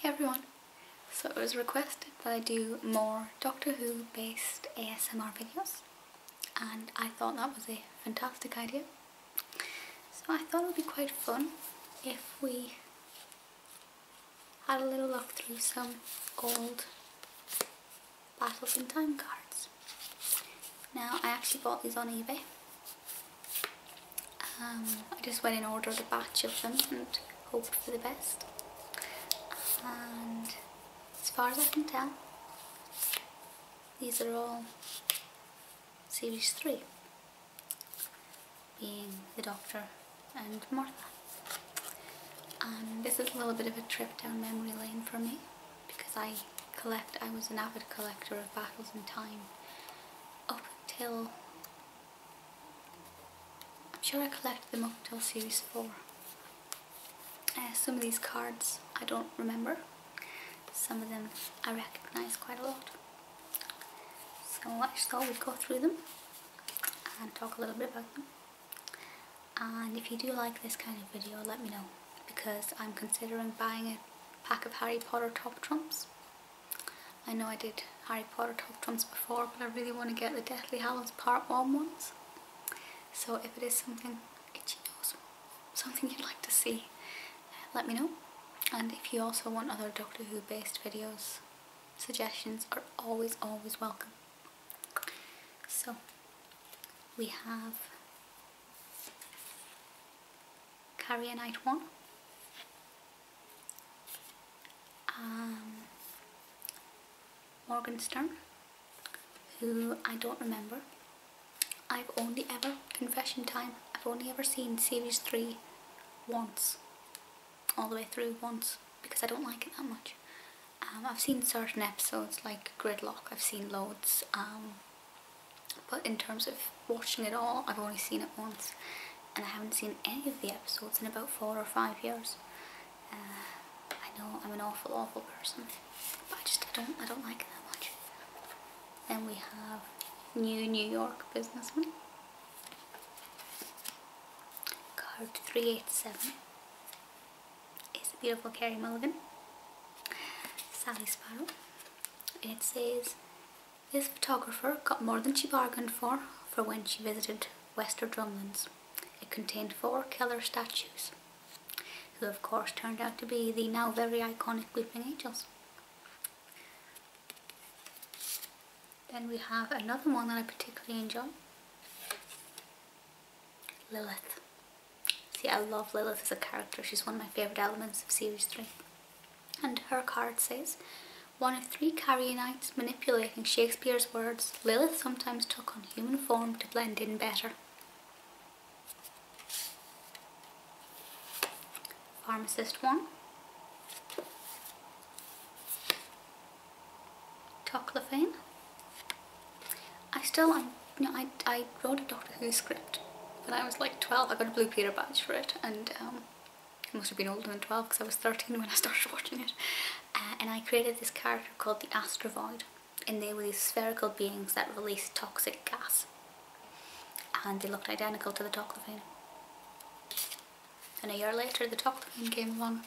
Hey everyone! So it was requested that I do more Doctor Who based ASMR videos and I thought that was a fantastic idea. So I thought it would be quite fun if we had a little look through some old Battles in Time cards. Now I actually bought these on eBay um, I just went and ordered a batch of them and hoped for the best. And as far as I can tell, these are all series 3, being the Doctor and Martha. And um, this is a little bit of a trip down memory lane for me because I collect, I was an avid collector of Battles in Time up until I'm sure I collected them up till series 4. Uh, some of these cards I don't remember. Some of them I recognise quite a lot. So I just we go through them and talk a little bit about them. And if you do like this kind of video, let me know because I'm considering buying a pack of Harry Potter top trumps I know I did Harry Potter Talk Drums before, but I really want to get the Deathly Hallows Part 1 ones. So if it is something something you'd like to see, let me know. And if you also want other Doctor Who based videos, suggestions are always, always welcome. So, we have Carrier Night 1. Um, Morgan Stern, who I don't remember. I've only ever, confession time, I've only ever seen series 3 once, all the way through once, because I don't like it that much. Um, I've seen certain episodes like Gridlock, I've seen loads. Um, but in terms of watching it all, I've only seen it once. And I haven't seen any of the episodes in about four or five years. Uh, I know I'm an awful, awful person. But I just, I don't, I don't like it that much. Then we have New New York Businessman. Card 387 It's the beautiful Carrie Mulligan. Sally Sparrow. It says, this photographer got more than she bargained for for when she visited Wester Drumlands. It contained four killer statues, who of course turned out to be the now very iconic Weeping Angels. Then we have another one that I particularly enjoy, Lilith. See, I love Lilith as a character. She's one of my favourite elements of Series 3. And her card says, one of three Carrionites manipulating Shakespeare's words, Lilith sometimes took on human form to blend in better. Pharmacist 1. Toclophane. I still, I, I, wrote a Doctor Who script when I was like 12. I got a Blue Peter badge for it and um, I must have been older than 12 because I was 13 when I started watching it. Uh, and I created this character called the Astrovoid. And they were these spherical beings that released toxic gas. And they looked identical to the Toclophene. And a year later the Toclophene came along.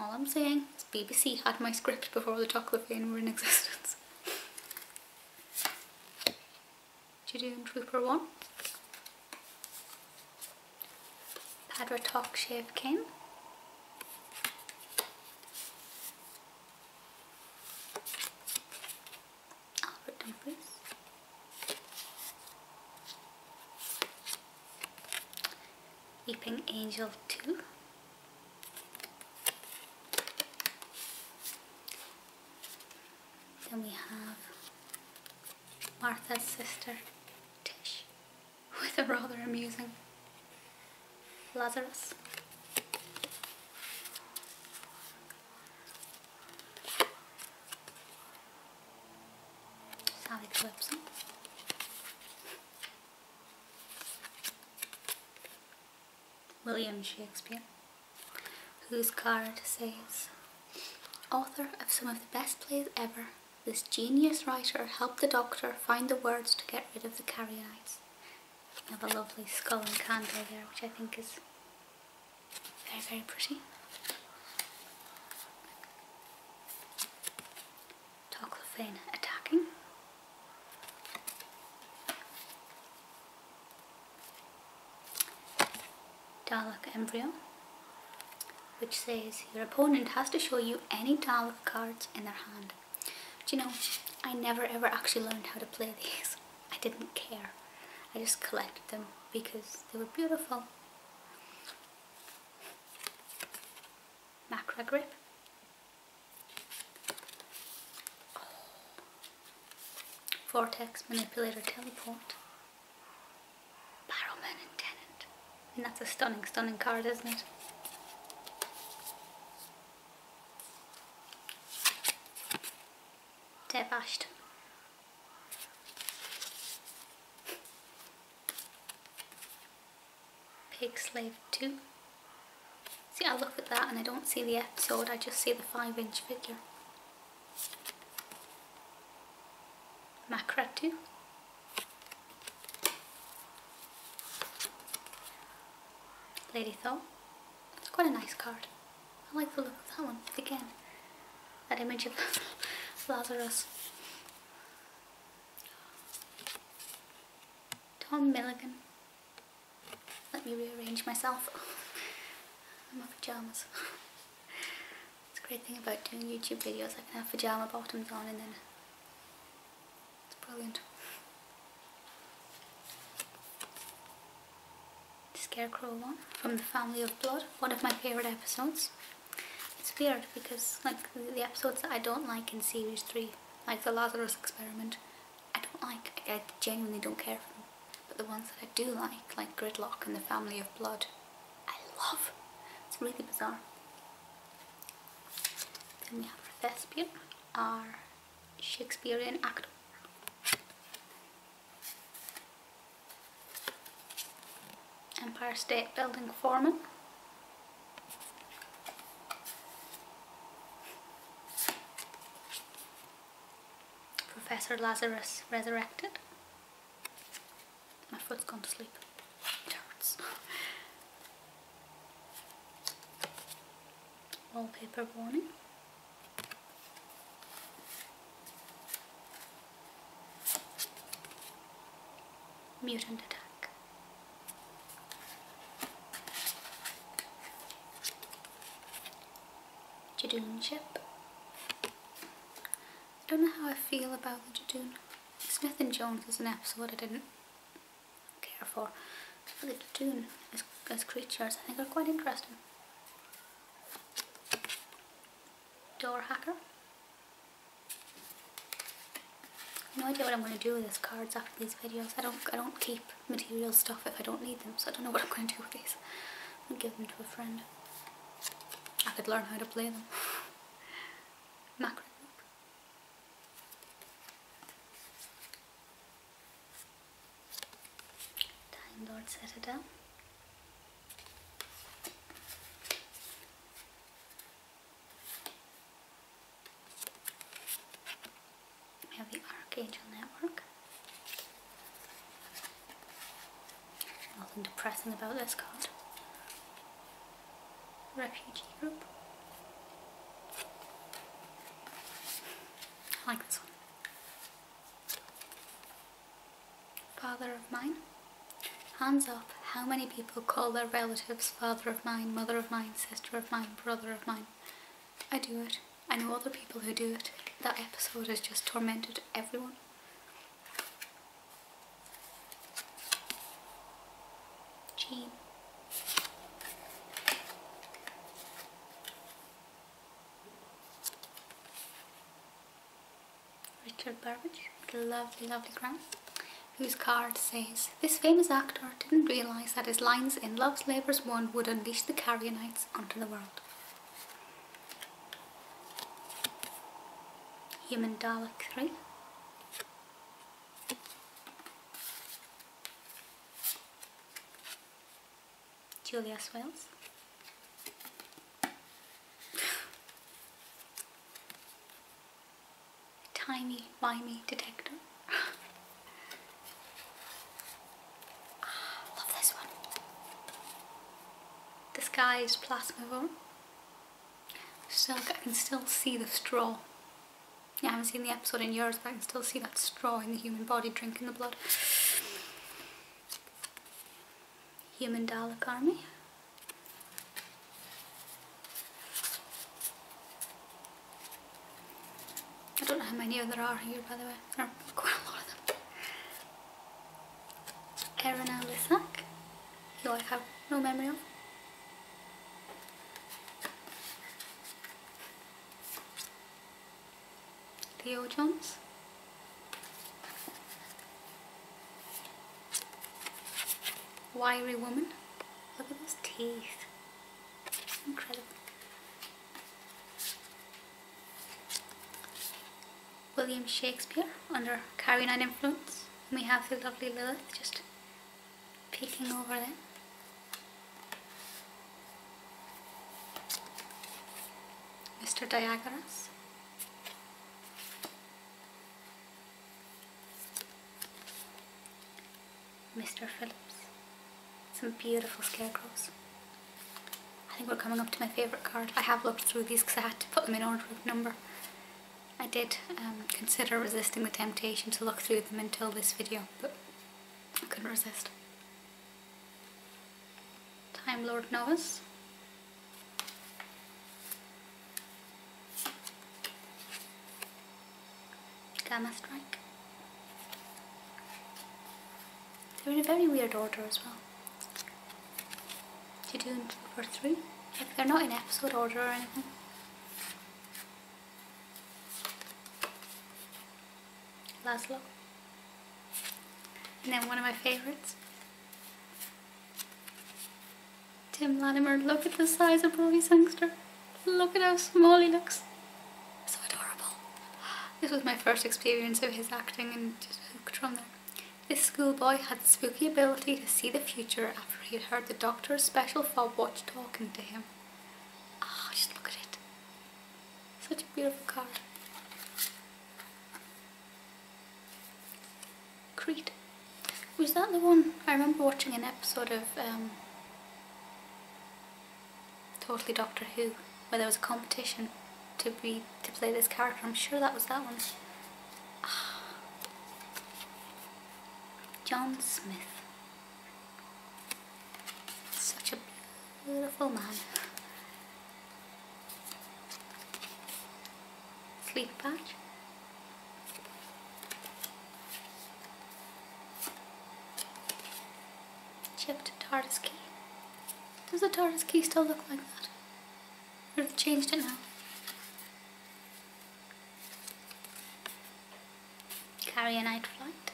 All I'm saying is BBC had my script before the Toclophene were in existence. Judean Trooper one. Padra Talk Shave King. Albert Dumfries. Weeping Angel 2. Then we have Martha's sister, Tish, with a rather amusing Lazarus. Sally Gibson. William Shakespeare, whose card says, Author of some of the best plays ever, this genius writer helped the doctor find the words to get rid of the carrionites. You have a lovely skull and candle there, which I think is very, very pretty. Toclophane attacking. Dalek Embryo which says your opponent has to show you any Dalek cards in their hand. But you know, I never ever actually learned how to play these. I didn't care. I just collected them because they were beautiful. Macra grip. Vortex Manipulator Teleport. Barrowman and And that's a stunning, stunning card, isn't it? Dev Pig Slave 2. See, I look at that and I don't see the episode, I just see the 5 inch figure. Macra too. Lady Thor. It's quite a nice card. I like the look of that one. Again, that image of Lazarus. Tom Milligan. Let me rearrange myself. I'm my pyjamas. it's a great thing about doing YouTube videos, I can have pyjama bottoms on and then it's brilliant. Scarecrow one from the Family of Blood, one of my favourite episodes. It's weird because like the episodes that I don't like in series 3, like the Lazarus experiment, I don't like. I, genuinely don't care for them. But the ones that I do like, like Gridlock and the Family of Blood, I love. It's really bizarre. Then we have for Thespian, our Shakespearean actor. Empire State Building Foreman. Professor Lazarus resurrected. My foot's gone to sleep. It hurts. Wallpaper warning. Mutant attack. Jadoon chip. I don't know how I feel about the Jadoon. Smith and Jones was an episode I didn't care for. But the Jadoon as, as creatures, I think are quite interesting. Door hacker. No idea what I'm going to do with these cards after these videos. I don't, I don't keep material stuff if I don't need them, so I don't know what I'm going to do with these. I'm going to give them to a friend. I could learn how to play them. Macro Time Lord Citadel have the Archangel Network. Nothing depressing about this card. Refugee Group. I like this one. Father of mine. Hands up, how many people call their relatives father of mine, mother of mine, sister of mine, brother of mine? I do it. I know other people who do it. That episode has just tormented everyone. Jean. Richard Burbage, lovely, lovely grand whose card says, This famous actor didn't realise that his lines in Love's Labour's One would unleash the Carrionites onto the world. Human Dalek 3. Julia Swales. Tiny, mimey detector. Ah, love this one. The sky is plasma room. I can still see the straw. Yeah, I haven't seen the episode in years, but I can still see that straw in the human body drinking the blood. Human Dalek Army. I don't know how many there are here by the way. quite a lot of them. Erina Lissac, who I have no memory of. Theo Jones. Wiry woman. Look at those teeth. Incredible. William Shakespeare under Carolina influence. And we have the lovely Lilith just peeking over there. Mr. Diagoras. Mr. Phillips. Some beautiful scarecrows. I think we're coming up to my favourite card. I have looked through these because I had to put them in order of number. I did um, consider resisting the temptation to look through them until this video, but I couldn't resist. Time Lord Novus. Gamma Strike. They're in a very weird order as well. Two, they're not in episode order or anything. Laszlo. And then one of my favourites. Tim Latimer, look at the size of Robbie Sangster. Look at how small he looks. So adorable. This was my first experience of his acting and just hooked from there. This schoolboy had the spooky ability to see the future after he had heard the doctor's special fob watch talking to him. Ah, just look at it. Such a beautiful car. Creed. Was that the one? I remember watching an episode of um, totally Doctor Who, where there was a competition to be to play this character. I'm sure that was that one. Ah. John Smith. Such a beautiful man. Sleep patch. Chipped TARDIS key. Does the TARDIS key still look like that? Or have changed it now? Carry a night flight.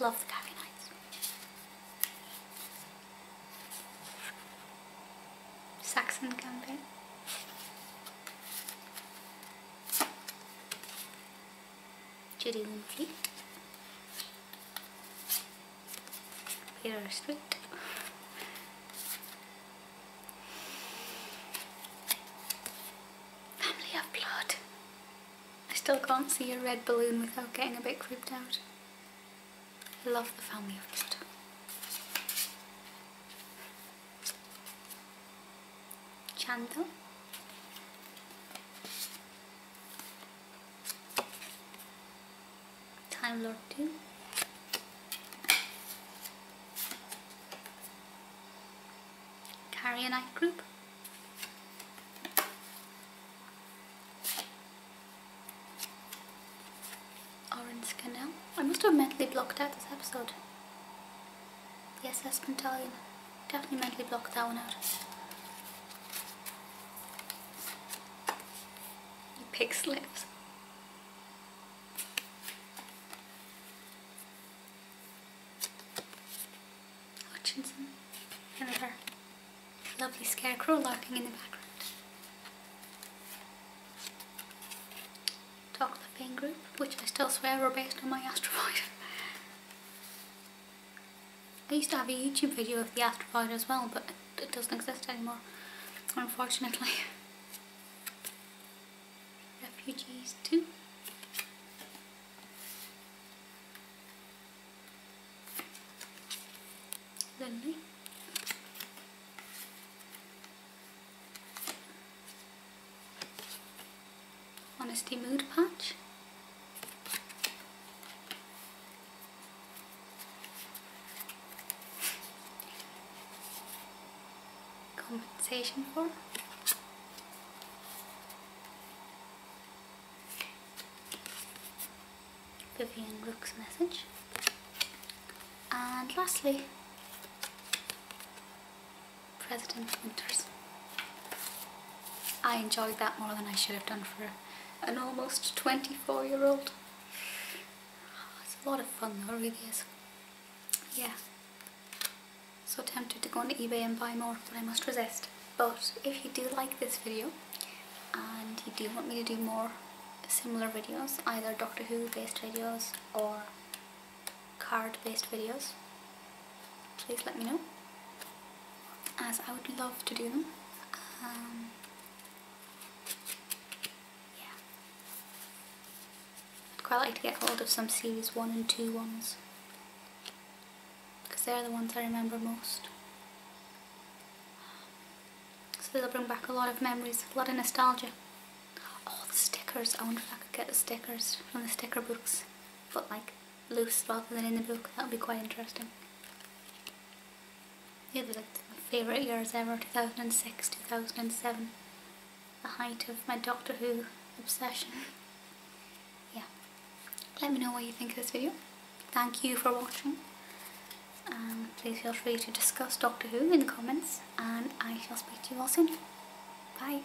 Love the carry nights. Saxon campaign. Chirigumpli Pay our respect Family of blood I still can't see a red balloon without getting a bit creeped out I love the family of blood Chanto. Time Lord 2. Carry Carrionite group. Orange Canal. I must have mentally blocked out this episode. Yes, that's Pentalion. Definitely mentally blocked that one out. You pig slips. Hutchinson. Another lovely scarecrow lurking in the background. Talk the Pain Group, which I still swear were based on my astrovoid. I used to have a YouTube video of the Astropod as well, but it doesn't exist anymore, unfortunately. Refugees too. Lovely. Honesty Mood Patch. Compensation for. Vivian Rook's message. And lastly, President Winters. I enjoyed that more than I should have done for an almost 24 year old. It's a lot of fun though, really is. Yeah. So tempted to go on eBay and buy more, but I must resist. But if you do like this video, and you do want me to do more similar videos, either Doctor Who based videos or card based videos please let me know as I would love to do them um, yeah I'd quite like to get hold of some series 1 and two ones because they're the ones I remember most so they'll bring back a lot of memories, a lot of nostalgia oh the stickers, I wonder if I could get the stickers from the sticker books but like loose rather than in the book. That would be quite interesting. Yeah, they're my favourite years ever, 2006, 2007. The height of my Doctor Who obsession. yeah. Let me know what you think of this video. Thank you for watching. Um, please feel free to discuss Doctor Who in the comments and I shall speak to you all soon. Bye.